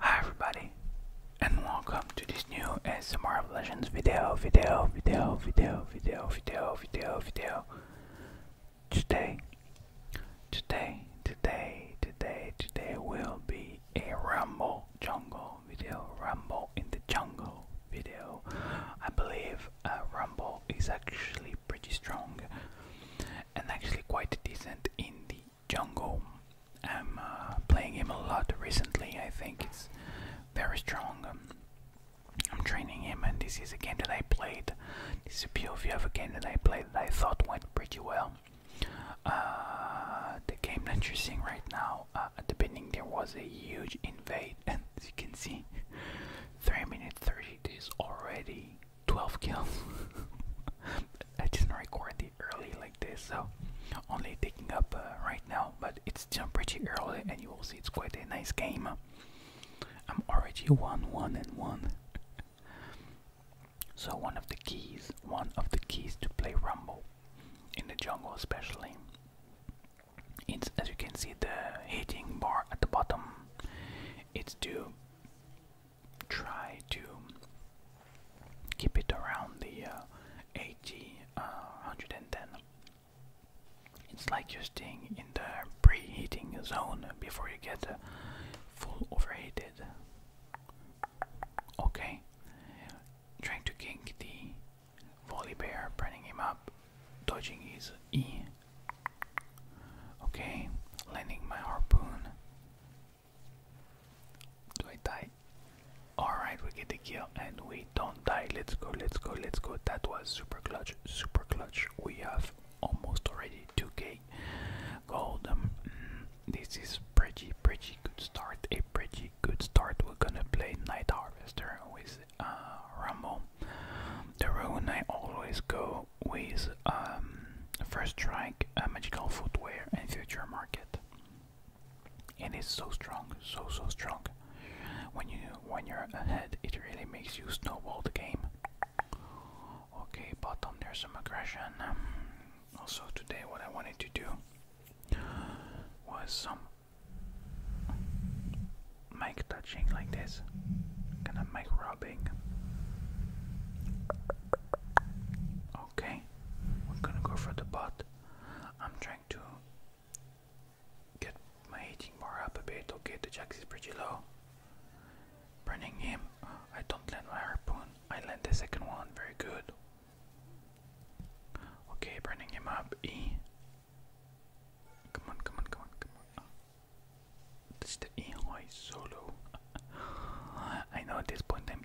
Hi everybody and welcome to this new ASMR of Legends video, video, video, video, video, video, video, video. Today, today, today, today, today will be a Rumble Jungle video, Rumble in the Jungle video. I believe uh, Rumble is actually pretty strong and actually quite decent in the jungle. I'm uh, playing him a lot recently. I think it's very strong. Um, I'm training him, and this is a game that I played. This is a POV of a game that I played that I thought went pretty well. Uh, the game that you're seeing right now, uh, at the beginning there was a huge invade, and as you can see, 3 minutes 30 is already 12 kills. I didn't record it early like this, so only taking up uh, right now. But it's still pretty early, and you will see it's quite a nice game. I'm already one, one, and one. so one of the keys, one of the keys to play Rumble in the jungle, especially. It's as you can see the hitting bar at the bottom. It's to try to keep it around the uh, uh It's like you're staying in the preheating zone before you get uh, full overheated. Okay, trying to kink the volley burning him up, dodging his E. Okay, landing my harpoon. Do I die? Alright, we get the kill and we don't die. Let's go, let's go, let's go. That was super clutch, super clutch. We have almost already 2k gold. Um, this is pretty, pretty good start. A pretty good start. We're gonna play Night Harvester with uh, Rumble. The rune I always go with um, first Strike, uh, Magical Footwear, and Future Market. And It is so strong, so so strong. When you when you're ahead, it really makes you snowball the game. Okay, bottom there's some aggression. also today, what I wanted to do was some mic touching like this, kind mic rubbing. Okay, Okay, we're gonna go for the bot. I'm trying to get my hitting bar up a bit. Okay, the jack is pretty low. Burning him. I don't land my harpoon. I land the second one. Very good. Okay, burning him up. E. Come on, come on, come on, come on. That's the E. Oh, it's so low. I know at this point I'm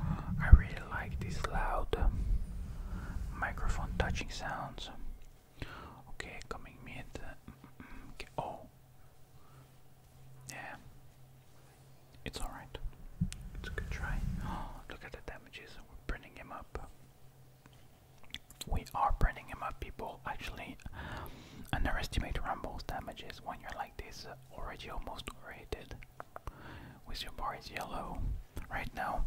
I really like these loud microphone touching sounds. Okay, coming mid. Mm-hmm. Oh, yeah, it's alright. It's a good try. look at the damages. We're bringing him up. We are burning him up, people. Actually, underestimate Rumble's damages when you're like this. Already almost rated with your bar bars yellow right now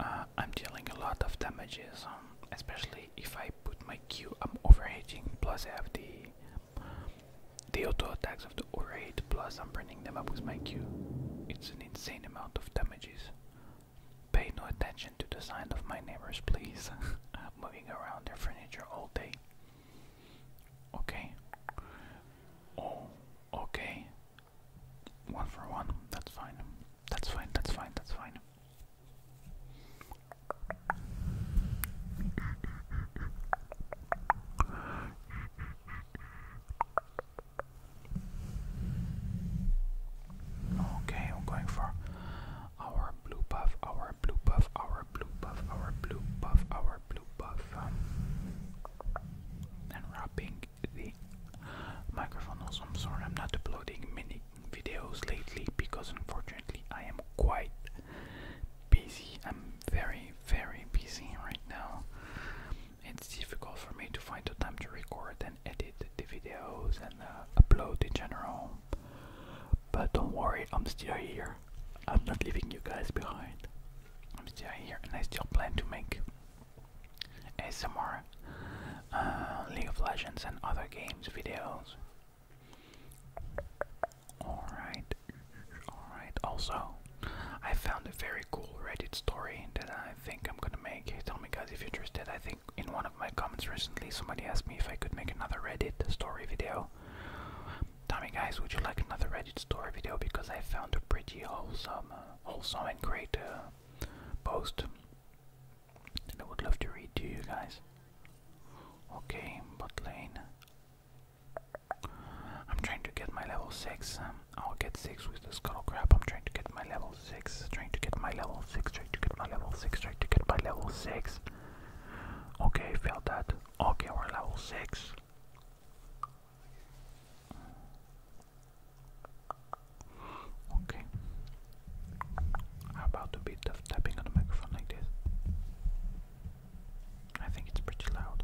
uh, I'm dealing a lot of damages um, especially if I put my Q I'm overheating plus I have the auto attacks of the overheat plus I'm burning them up with my Q it's an insane amount of damages pay no attention to the sign of my neighbors please moving around their furniture all day Okay. Oh, okay. One for one. That's fine. That's fine. That's fine. That's fine. Okay, I'm going for our blue buff, our blue buff, our blue buff, our blue buff, our blue blue the microphone also. I'm sorry, I'm not uploading many videos lately because unfortunately I am quite busy. I'm very, very busy right now. It's difficult for me to find the time to record and edit the videos and uh, upload in general. But don't worry, I'm still here. I'm not leaving you guys behind. I'm still here and I still plan to make ASMR, uh, League of Legends and other games videos. Alright, alright. Also, I found a very cool Reddit story that I think I'm gonna make. Tell me guys if you're interested. I think in one of my comments recently somebody asked me if I could make another Reddit story video. Tell guys, would you like another Reddit story video because I found a pretty wholesome, uh, wholesome and great uh, post that I would love to read to you guys. Okay, bot lane. I'm trying to get my level 6. Um, I'll get 6 with the skull crab. I'm trying to get my level 6. Trying to get my level 6. Trying to get my level 6. Trying to get my level 6. Okay, failed that. Okay, we're level 6. Okay. How about a bit of tapping on the microphone like this? I think it's pretty loud.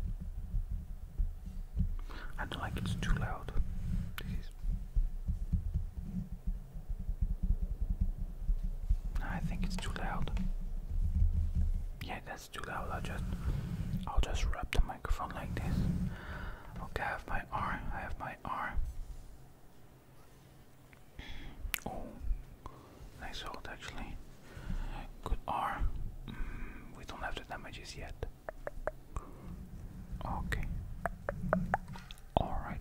I don't like it's too loud. This is I think it's too loud. Yeah, it's too loud. I'll just, I'll just wrap the microphone like this. Okay, I have my arm. have my arm. Oh, nice hold actually. Good arm. Mm, we don't have the damages yet. Okay. All right.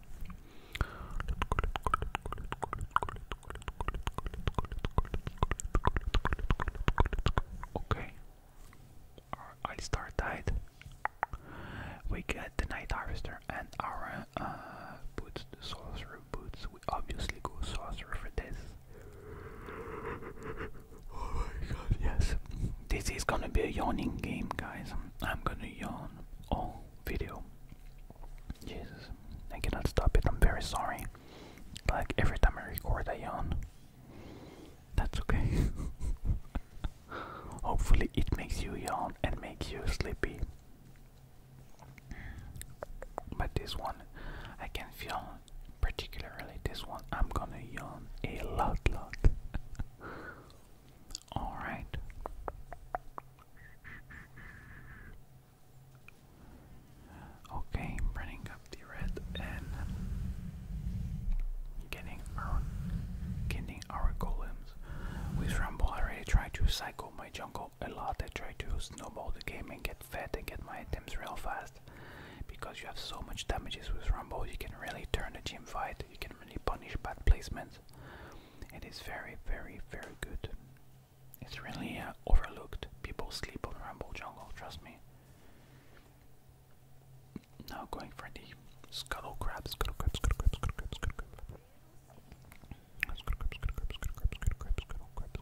Okay. i start that. We get the Night Harvester and our uh, boots, sorcerer boots. We obviously go sorcerer for this. Oh my god, yes. This is gonna be a yawning game, guys. I'm gonna yawn all video. Jesus, I cannot stop it. I'm very sorry. Like every time I record, I yawn. That's okay. Hopefully, it makes you yawn and makes you sleepy. But this one, I can feel, particularly this one, I'm gonna yawn a lot, lot. All right. Okay, running up the red and getting our getting our golems. With Rumble I already tried to cycle my jungle a lot. I tried to snowball the game and get fed and get my items real fast. Because you have so much damages with Rumble, you can really turn the gym fight. You can legitimately punish bad placements. It is very, very, very good. It's really overlooked. People sleep on Rumble Jungle, trust me. Now going for the Scuttle Crab, Scuttle Crab, Scuttle Crab, Scuttle Crab, Scuttle Crab. Scuttle Crab, Scuttle Crab, Scuttle Crab, Scuttle Crab, Scuttle Crab,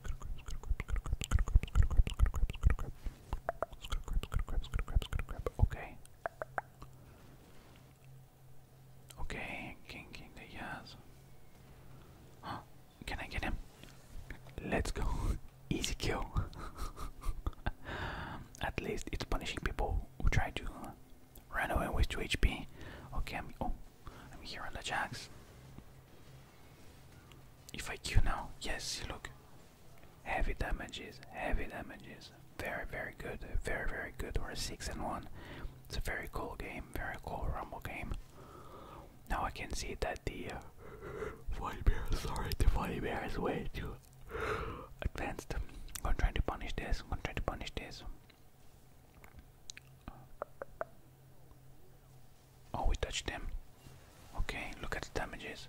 Scuttle Crab, Scuttle Crab, Scuttle Crab, Scuttle Crab, Scuttle Crab, Scuttle Crab, Scuttle Crab, Scuttle Crab, Scuttle Crab, Scuttle Crab, Scuttle Crab, Scuttle Crab, Okay, king, king, the yes. Can I get him? Let's go. Easy kill. At least it's punishing people who try to run away with 2 HP. Okay, I'm. Oh, I'm here on the jacks. If I I Q now, yes, look, Heavy damages, heavy damages. Very, very good, very, very good. We're 6 and 1. It's a very cool game, very cool Rumble game. Now I can see that the uh, bear, sorry, the Volley Bear is way too advanced. I'm gonna try to punish this, I'm gonna try to punish this. Oh, we touched him. Okay, look at the damages.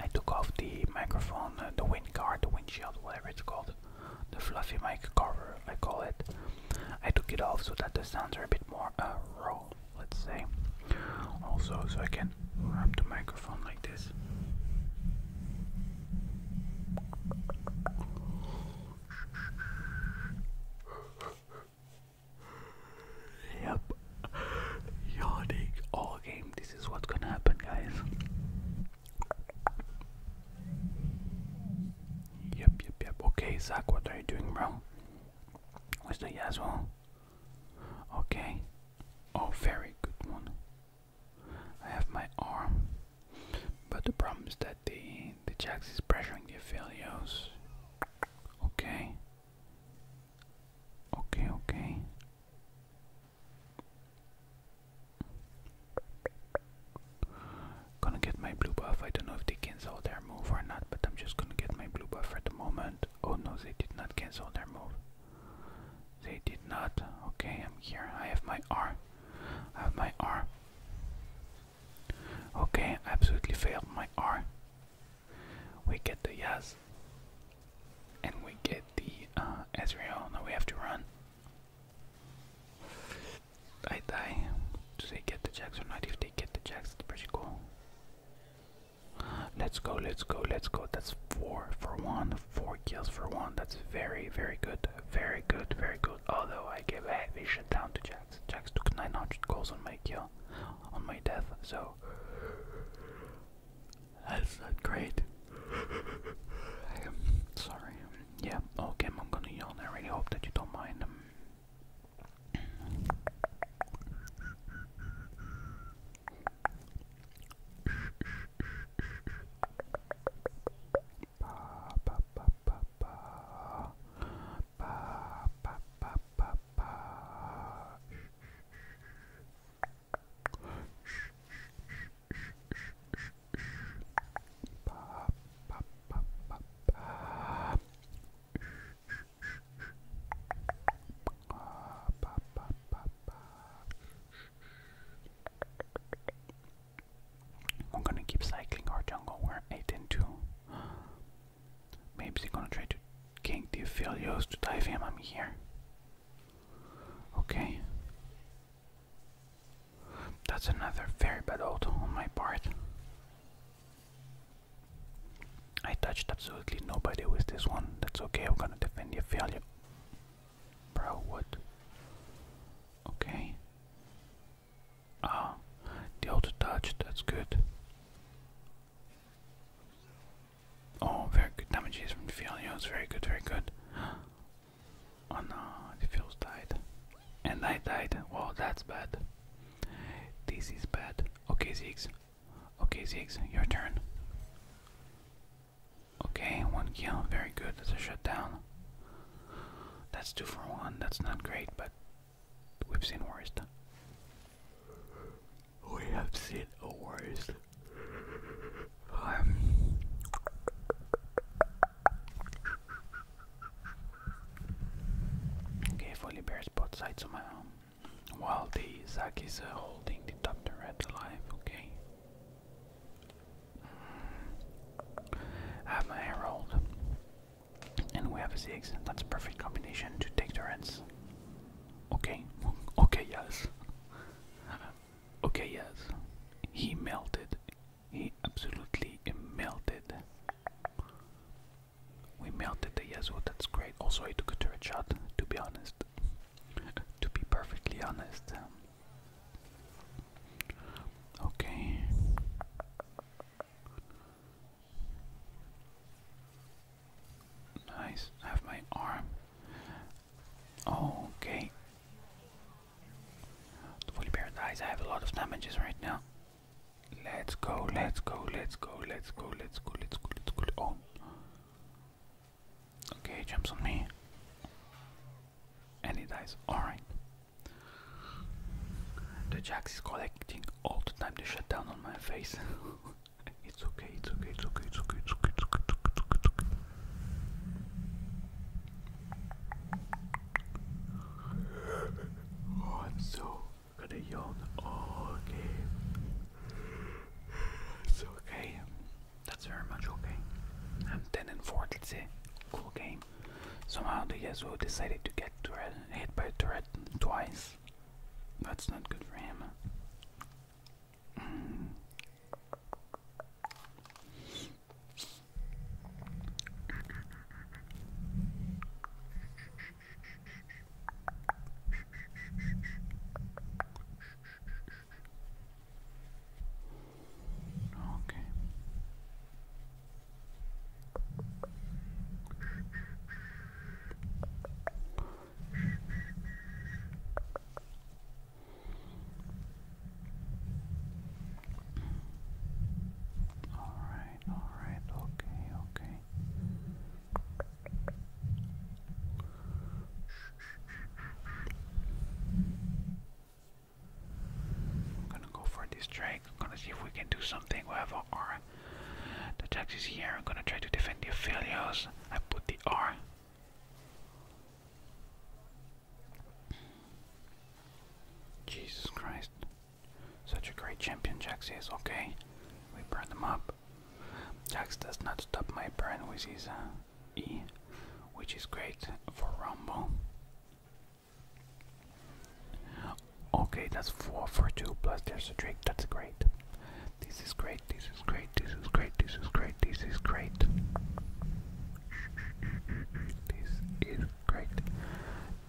I took off the microphone, uh, the wind guard, the windshield, whatever it's called, the fluffy mic cover, I call it. I took it off so that the sounds are a bit more uh, raw, let's say. Also, so I can wrap the microphone like this. Yep. Yawning all game. This is what's gonna happen, guys. Yep, yep, yep. Okay, Zach, what are you doing, bro? Where's the Yasuo? Okay. Oh, very good one. I have my arm. But the problem is that the the Jax is pressing the Aphelios. Okay. Okay, okay. Gonna get my blue buff. I don't know if they cancel their move or not, but I'm just gonna get my blue buff at the moment. Oh no, they did not cancel their move. They did not. Okay, I'm here. I have my R. I have my R. Okay, I absolutely failed my R. We get the Yas, And we get the uh, Ezreal. Now we have to run. I die. Do they get the jacks or not? If they get the jacks, it's pretty cool. Let's go, let's go, let's go. That's four for one, four kills for one. That's very, very good. Very good, very good. Although I gave a heavy shit down to Jax. Jax took 900 kills on my kill, on my death, so that's not great. I am sorry. Yeah, okay, I'm gonna yawn. I really hope that you don't mind. Um, I'm gonna keep cycling our jungle. We're eight and two. Maybe they're gonna try to king the Aphelios to dive him. I'm here. Okay. That's another very bad auto on my part. I touched absolutely nobody with this one. That's okay, I'm gonna defend the failure. Bro, what? Okay. Ah, the auto touch, that's good. Oh, very good damage is from the field. It's very good, very good. Oh no, the fields died. And I died. Wow, that's bad. This is bad. Okay, Zeeks. Okay, Zeeks, your turn. Okay, one kill. Very good. That's a shutdown. That's two for one. That's not great, but we've seen worse we have seen a worst. Um, bears both sides of my arm. While the Zack is uh, holding the Dr. Red alive, okay? I have my Herald. And we have a Ziggs. That's a perfect combination to take the Reds. Okay, okay, yes. Okay, yes. He melted. He absolutely melted. We melted the Yazoo, oh, that's great. Also, I took a turret shot, to be honest. to be perfectly honest. Okay. Nice. I have my arm. Okay. The fully paradise. I have a lot of damages right now. Let's go, let's go, let's go, let's go, let's go, let's go, let's go. Let's go. Oh. Okay, jumps on me. And he dies. Alright. The Jacks is collecting all the time the shutdown on my face. It's okay, it's okay, it's okay, it's okay, it's okay, it's okay, it's okay, it's okay, it's okay. Oh, I'm so gonna yawn oh, all game. It's okay. That's very much okay. I'm 10 and 4, let's say. Cool game. Somehow the Yasuo decided to get hit by a turret twice. That's not good for him. Okay. Alright, alright, okay, okay. I'm gonna go for this strike. I'm gonna see if we can do something. We have our the jack is here. I'm gonna try to defend the Aphelios. I put the R. Jesus Christ. Such a great champion Jax is. Okay, we burn them up. Jax does not stop my burn with his uh, E, which is great for Rumble. Okay, that's four for two. Plus, there's a trick. That's great. This is great. This is great. This is great. This is great. This is great. This is great. This is great.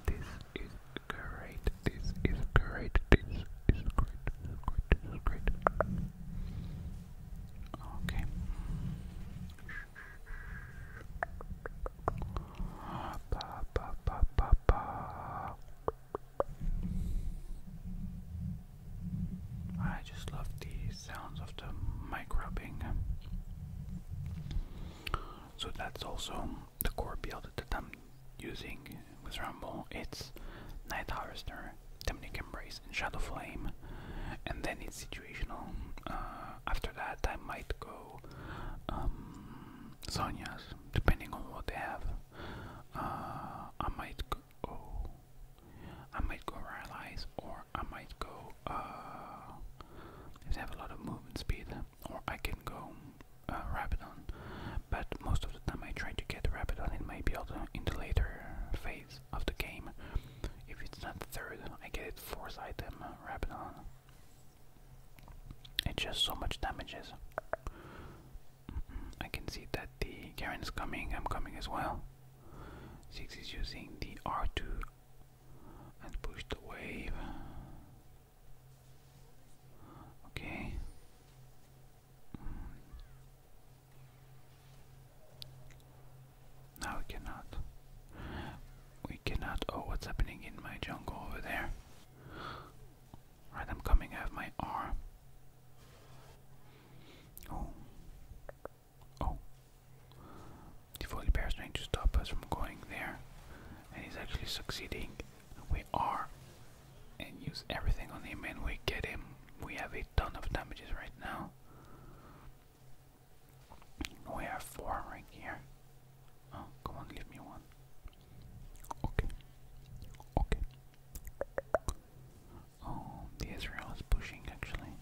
This is great. This is great. This is great. This is great. Okay. Ba, ba, ba, ba, ba. I just love the sounds of the mic rubbing. So that's also the core build that I'm using with Rambo. It's Night Harvester, Demonic Embrace, and Shadow Flame. And then it's situational. Uh, after that, I might go um, depending on what they have. Uh, I might go. Oh, I might go realize, or I might go. Uh, let have a lot of movement speed, or I can go uh, Rabidon. But most of the time, I try to get Rapidon in my build in the later phase of the game. If it's not third, I get it fourth item uh, Rapidon. It just so much damages. I can see that the Garen's coming. I'm coming as well. Six is using the R2 and push the wave. Okay. Now we cannot. We cannot. Oh, what's happening in my jungle over there? Alright, I'm coming out of my arm. Oh. Oh. The Foley Bear is trying to stop us from going there. And he's actually succeeding. We are. And use everything on him and we get him. We have a ton of damages right now. We have four here. Oh, come on, give me one. Okay. Okay. Oh, the Israel is pushing actually.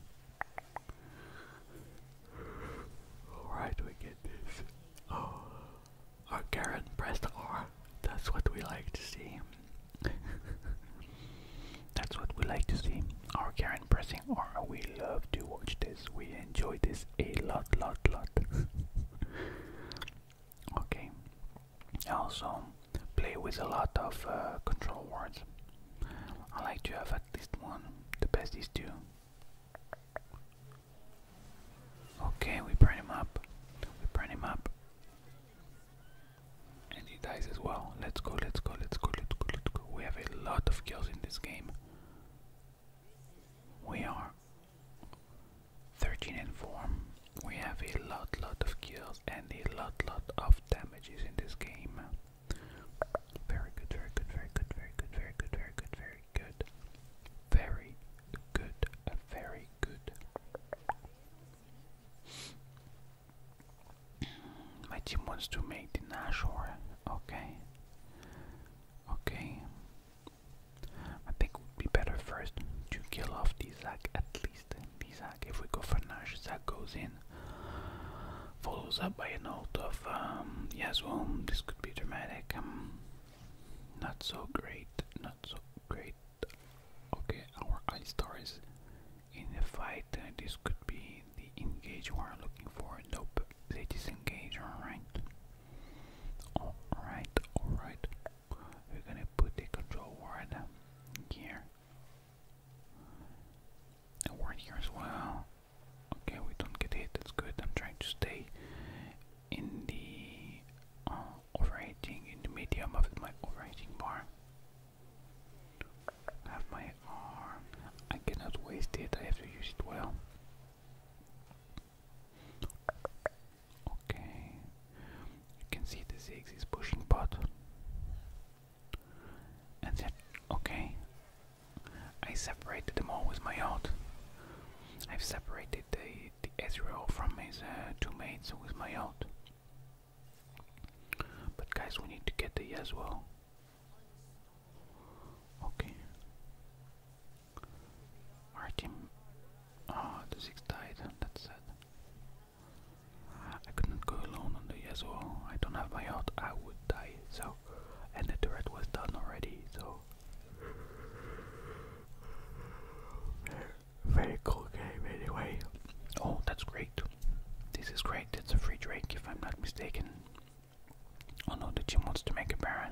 Alright, we get this. Oh, our Karen pressed R. That's what we like to see. That's what we like to see. Our Karen pressing R. We love to watch this. We enjoy this a lot, lot, lot. Okay. Also, play with a lot of uh, control words. I like to have at least one. The best is two. Okay, we burn him up. We burn him up. And he dies as well. Let's go, let's go, let's go, let's go, let's go. We have a lot of kills in this game. We are 13 and 4. We have a lot lot of kills and a lot lot of damages in this game. Very good, very good, very good, very good, very good, very good, very good. Very good, very good. My team wants to make the Nashor. Okay. Okay. I think it would be better first to kill off the Zag at least. The Zag, if we go for Nash, Zag goes in, follows up by an ult of um, This could be dramatic. Um, not so great, not so great. Okay, our eye star in the fight. Uh, this could be the engage we are looking for. Nope, they disengage, alright. Alright, alright. We're gonna put the control word here. A word here as well. Okay, we don't get hit, that's good. I'm trying to stay in the uh, in the medium of my overrating bar. have my arm. I cannot waste it, I have to use it well. Okay, you can see the Ziggs is pushing bot. And okay, I separated them all with my ult. I've separated the, the Ezreal from his uh, two mates with my ult. But guys, we need to get the Yasuo. Okay. Our team. Oh, the six died. That's sad. Ah, I couldn't go alone on the Yasuo. I don't have my heart. I would die. So, and the turret was done already. So, very cool game anyway. Oh, that's great. This is great. It's a free drink if I'm not mistaken. Oh no, that team wants to make a Baron.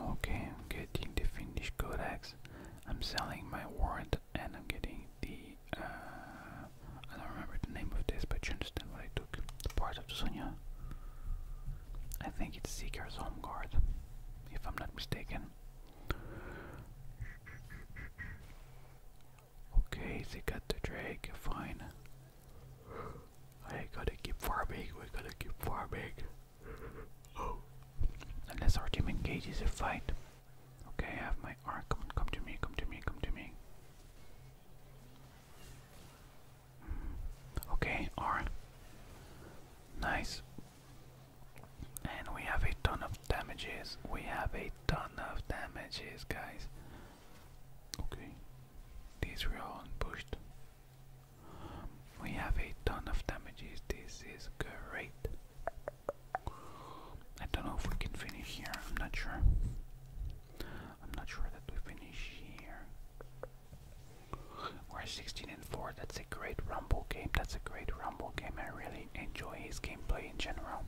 Okay, I'm getting the Finnish codex. I'm selling my warrant and I'm getting the. Uh, I don't remember the name of this, but you understand what I took. The part of the Sonya. I think it's Seeker's Home Guard, if I'm not mistaken. Okay, they got the Drake, fine. I gotta keep farming, we gotta keep farming. Oh. Unless our team engages a fight. Okay, I have my arc. Come, to me, come to me, come to me. Hmm. Okay, R. Nice. And we have a ton of damages. We have a ton of damages, guys. Okay, these were all We have a ton of damages. This is great. I don't know if we can finish here. I'm not sure. I'm not sure that we finish here. We're 16 and 4. That's a great rumble game. That's a great rumble game. I really enjoy his gameplay in general.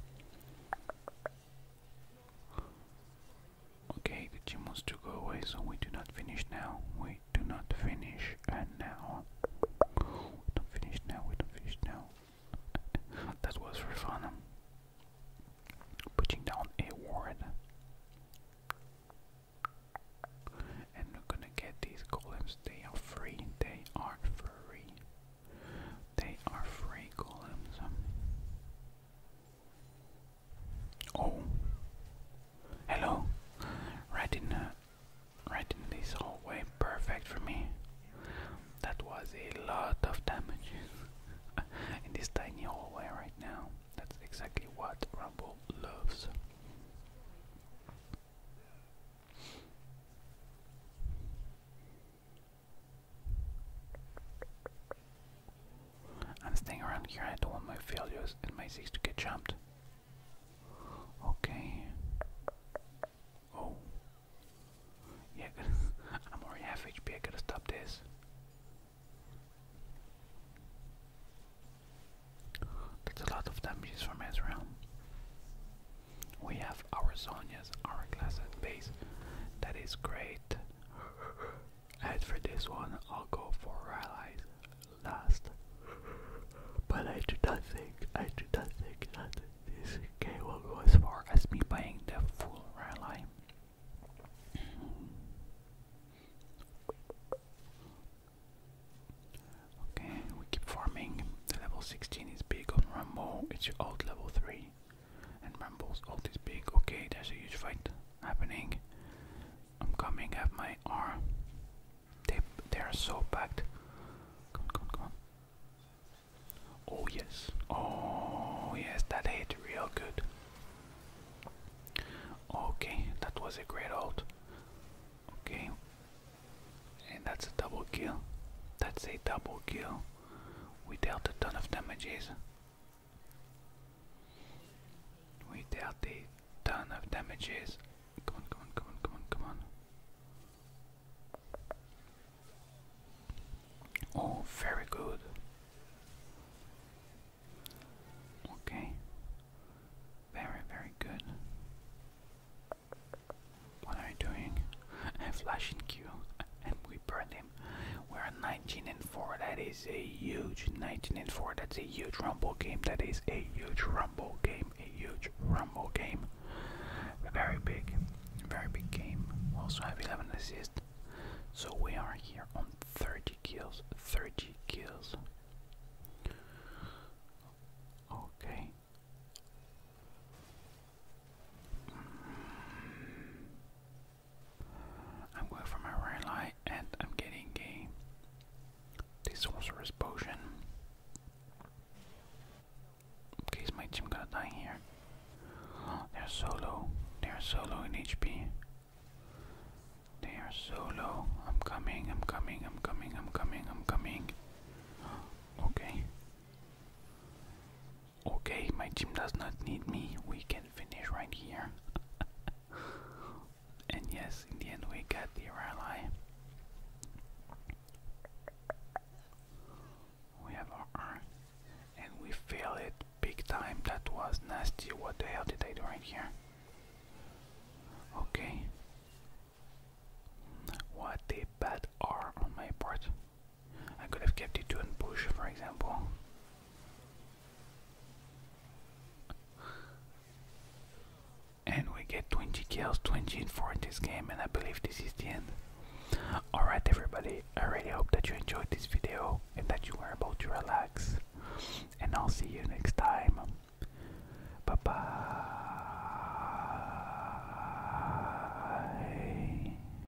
Okay, the gym wants to go away, so we do not finish now. We do not finish and now. We don't finish now, we don't finish now. that was for fun. Putting down a word, And we're gonna get these golems. They are free. They are free. They are free columns. Oh, hello! Right in, uh, right in this hallway, perfect for me. That was a lot of damage in this tiny hallway right now. That's exactly what Rumble loves. I'm staying around here, I don't want my failures and my six to get jumped. Okay. Oh. Yeah, I'm already half HP, I gotta stop this. That's a lot of damages from Ezreal. We have our Sonya's, our class base. That is great. As for this one, I'll go for allies last. But I do not think, I do not think that this game will go as far as me buying the full rally. okay, we keep farming. The level 16 is big on Rambo, it's out level 3 and Rumble's ult is big. Okay, there's a huge fight happening. I'm coming at my arm. They, they are so packed. Come on, come on, come on. Oh yes. Oh yes, that hit real good. Okay, that was a great hold. Okay. And that's a double kill. That's a double kill. We dealt a ton of damages. We dealt a ton of damages. Come on, come on, come on, come on, come on. Oh, very good. Okay. Very, very good. What are you doing? A flashing Q and we burn him. We're 19 and 4. That is a huge 19 and 4. That's a huge rumble game. That is a huge rumble game. A huge rumble game. Very big, very big game. Also have 11 assists. So we are here on 30 kills. 30 kills. Okay. I'm going for my right light and I'm getting a the sorceress potion. In case my team gonna die here. they're so low. They're so low in HP. They are so low. I'm coming, I'm coming, I'm coming, I'm coming, I'm coming. Okay. Okay, my team does not need me. We can finish right here. and yes, in the end, we got the rally. We have R. And we fail it big time. That was nasty. What the hell did I do right here? Okay. What a bad R on my part. I could have kept it to a bush, for example. And we get 20 kills, 20 in 4 in this game, and I believe this is the end. Alright, everybody, I really hope that you enjoyed this video and that you were able to relax. And I'll see you next time. Bye bye.